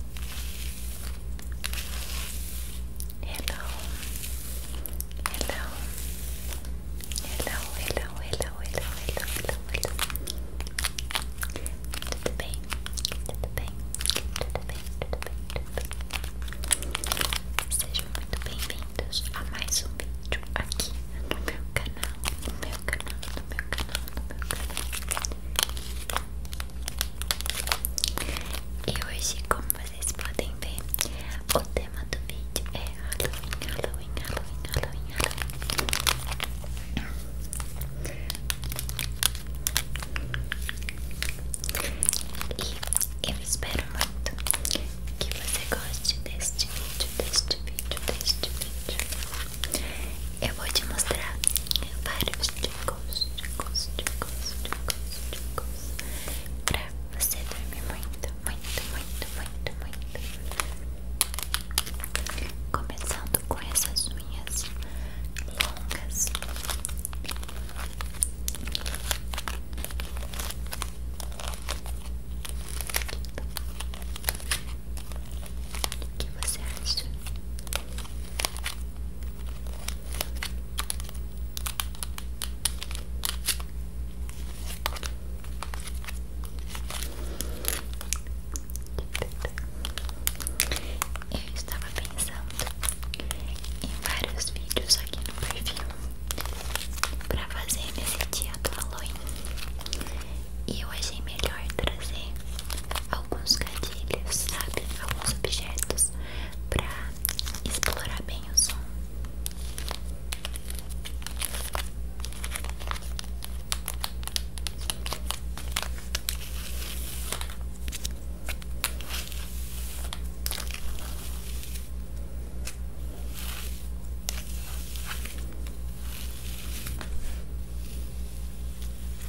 Hello, hello, hello, hello, hello, hello, hello, hello, hello. Tudo bem? Tudo bem? Tudo bem? Tudo bem? Tudo bem? Sejam muito bem-vindos a mais um vídeo aqui no meu canal, no meu canal, no meu canal, no meu canal. E hoje, como vocês podem ver, o tema do vídeo é Halloween, Halloween, Halloween, Halloween, Halloween. E eu espero muito que você goste deste vídeo, deste vídeo, deste vídeo. Eu vou te mostrar vários ticos, ticos, ticos, ticos, ticos pra você dormir muito, muito, muito, muito, muito. Começando com essas unhas longas. O que você acha? Eu estava pensando em vários vídeos aqui no perfil para fazer nesse dia do Halloween e eu achei melhor trazer alguns gatilhos, sabe? Alguns objetos para explorar bem o som.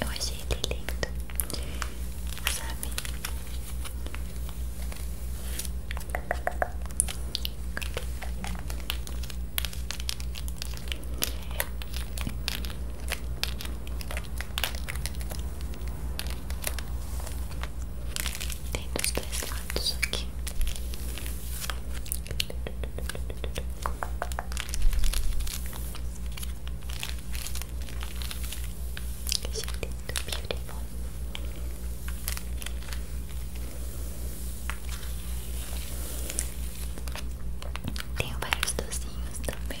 Eu achei ele lindo, sabe? Tem dos dois lados aqui beautiful. Tenho vários docinhos também.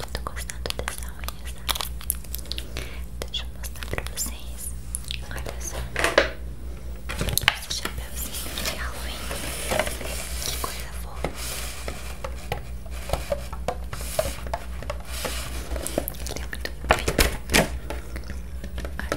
Eu tô gostando dessa unha, sabe? Tá? Deixa eu mostrar pra vocês. Olha só. Esse chapéuzinho de é Halloween. Que coisa fofa. Ele é muito bonito. Olha.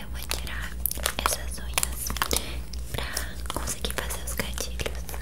Eu vou tirar essas unhas pra conseguir fazer os gatilhos.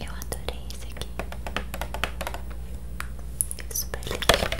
Eu adorei esse aqui. Super lindo. Olha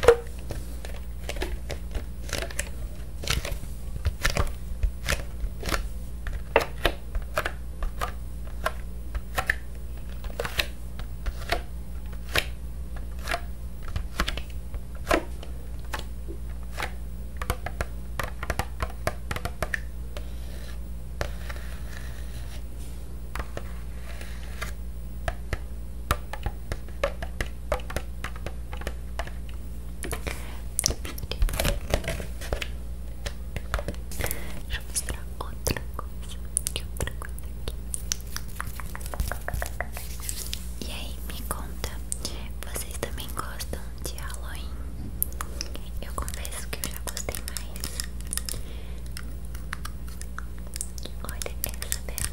Deixa eu mostrar outra coisa. Que outra coisa aqui. E aí, me conta vocês também gostam de Halloween? Eu confesso que eu já gostei mais. Olha essa dela.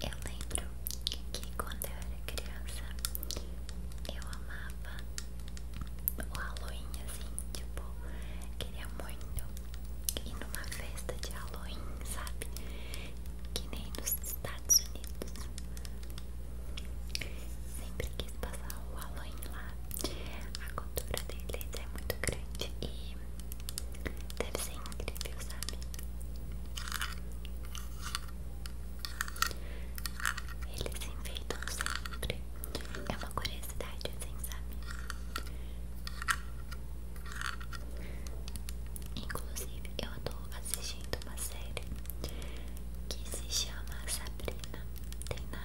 Eu lembro que quando eu era criança eu amava o Halloween assim, tipo, queria muito ir numa festa de Halloween, sabe? Que nem nos Estados Unidos. Sempre quis passar o Halloween lá. A cultura deles é muito grande e deve ser incrível, sabe? Eles se enfeitam sempre. É uma curiosidade, assim, sabe? Inclusive, eu tô assistindo uma série que se chama Sabrina. Tem na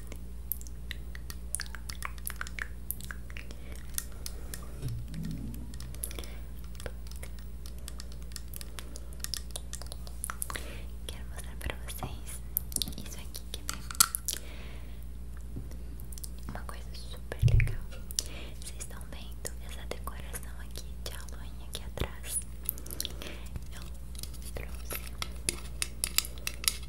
Quero mostrar pra vocês isso aqui, quer ver? Uma coisa super legal. Vocês estão vendo essa decoração aqui de aloinha aqui atrás? Eu trouxe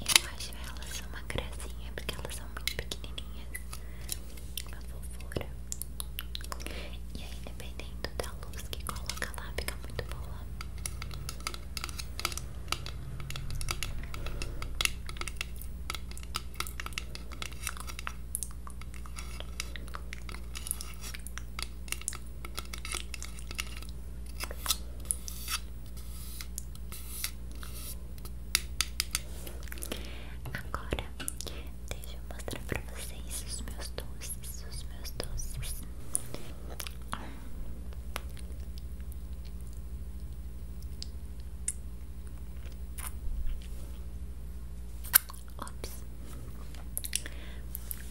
Eu acho elas uma gracinha porque elas são muito pequenininhas, uma fofura. E aí, dependendo da luz que coloca lá, fica muito boa. Agora, deixa eu mostrar para vocês os meus doces, os meus doces. Ops.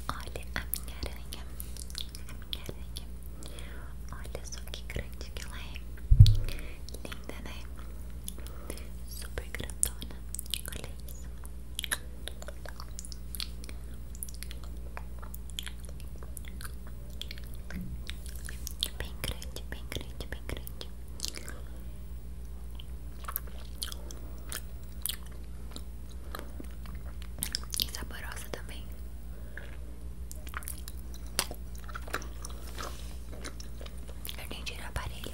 Olha a minha aranha. Olha só que grande que ela é. Linda, né? Super grandona. Olha isso. Bem grande, bem grande, bem grande. E saborosa também. Eu nem tirar o aparelho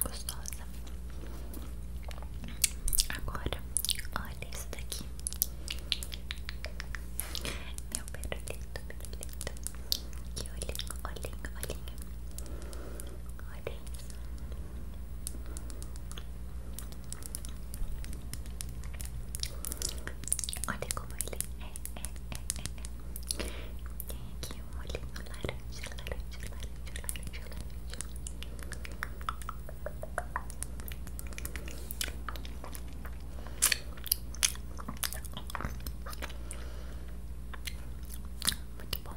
gostosa. Agora, olha isso daqui. Meu perolito, perolito. Que olhinho, olhinho, olhinho. Olha isso. Olha como ele é, é, é, é, é. Tem aqui um olhinho laranja, laranja, laranja, laranja, laranja. Muito bom.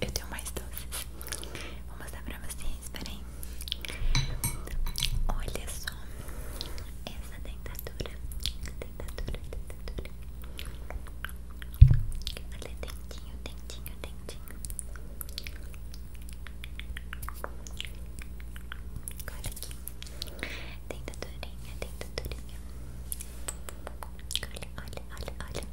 Eu tenho mais doces. Vou mostrar pra vocês, peraí. Olha só essa dentadura. Dentadura, dentadura. Olha, é dentinho, dentinho, dentinho. Olha aqui. Dentadurinha, dentadurinha. Olha, olha, olha, olha.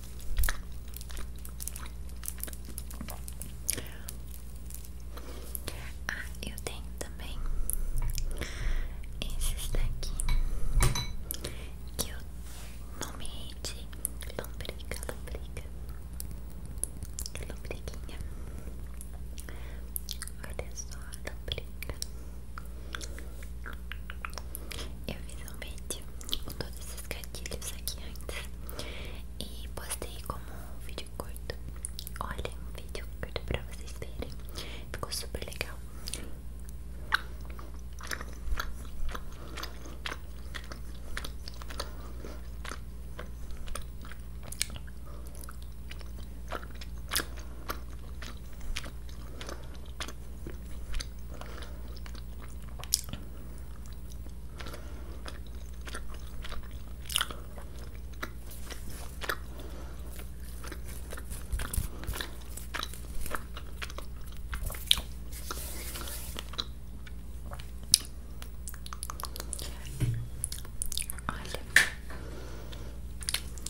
Ah, eu tenho também esse daqui que eu nomeei de lombriga, lombriga, lombriguinha. Olha só, lombriga. Eu fiz um vídeo com todos esses gatilhos aqui antes e postei como um vídeo curto. Olha, um vídeo curto pra vocês verem. Ficou super legal. Olha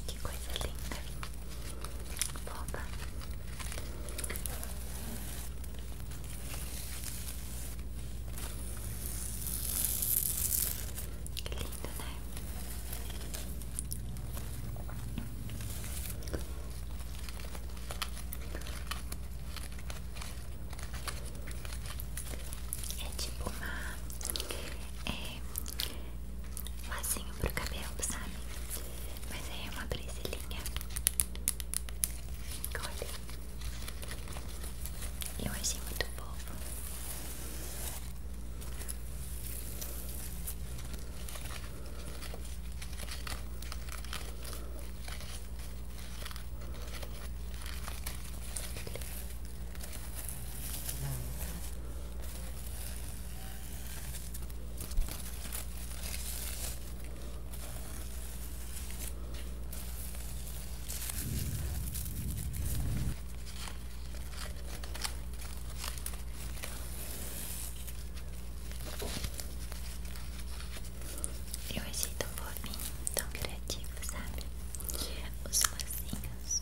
que coisa linda. Volta. Que lindo, né? É tipo uma. É. Lacinho pro cabelo, sabe? Mas aí é uma brincelinha Olha. Eu achei muito bom eu achei tão fofinho, tão criativo, sabe? Os lacinhos.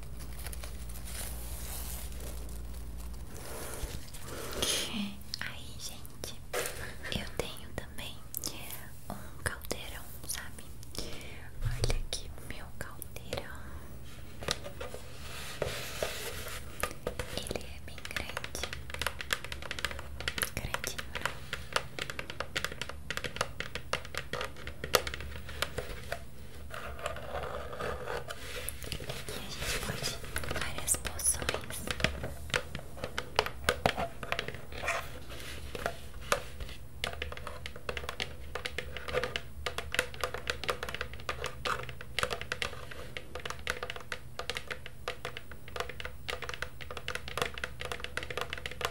Aí, gente, eu tenho também um caldeirão, sabe? Olha aqui meu caldeirão. Ele é bem grande. Grandinho, né? o Aqui a gente pode várias poções. Aqui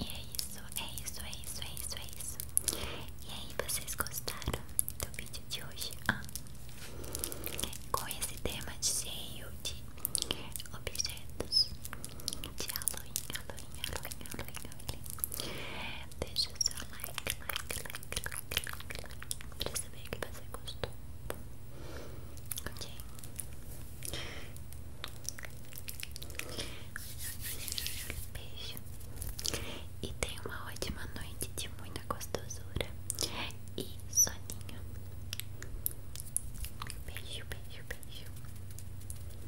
E é isso, é isso, é isso, é isso, é isso. E aí, vocês gostaram do vídeo de hoje? com esse tema de cheio de objetos de Halloween, Halloween, Halloween, Halloween, Halloween. Deixa o seu like, like, like, like, like, like pra saber que você gostou. Ok? Beijo. E tenha uma ótima noite de muita gostosura e soninho. Beijo, beijo, beijo.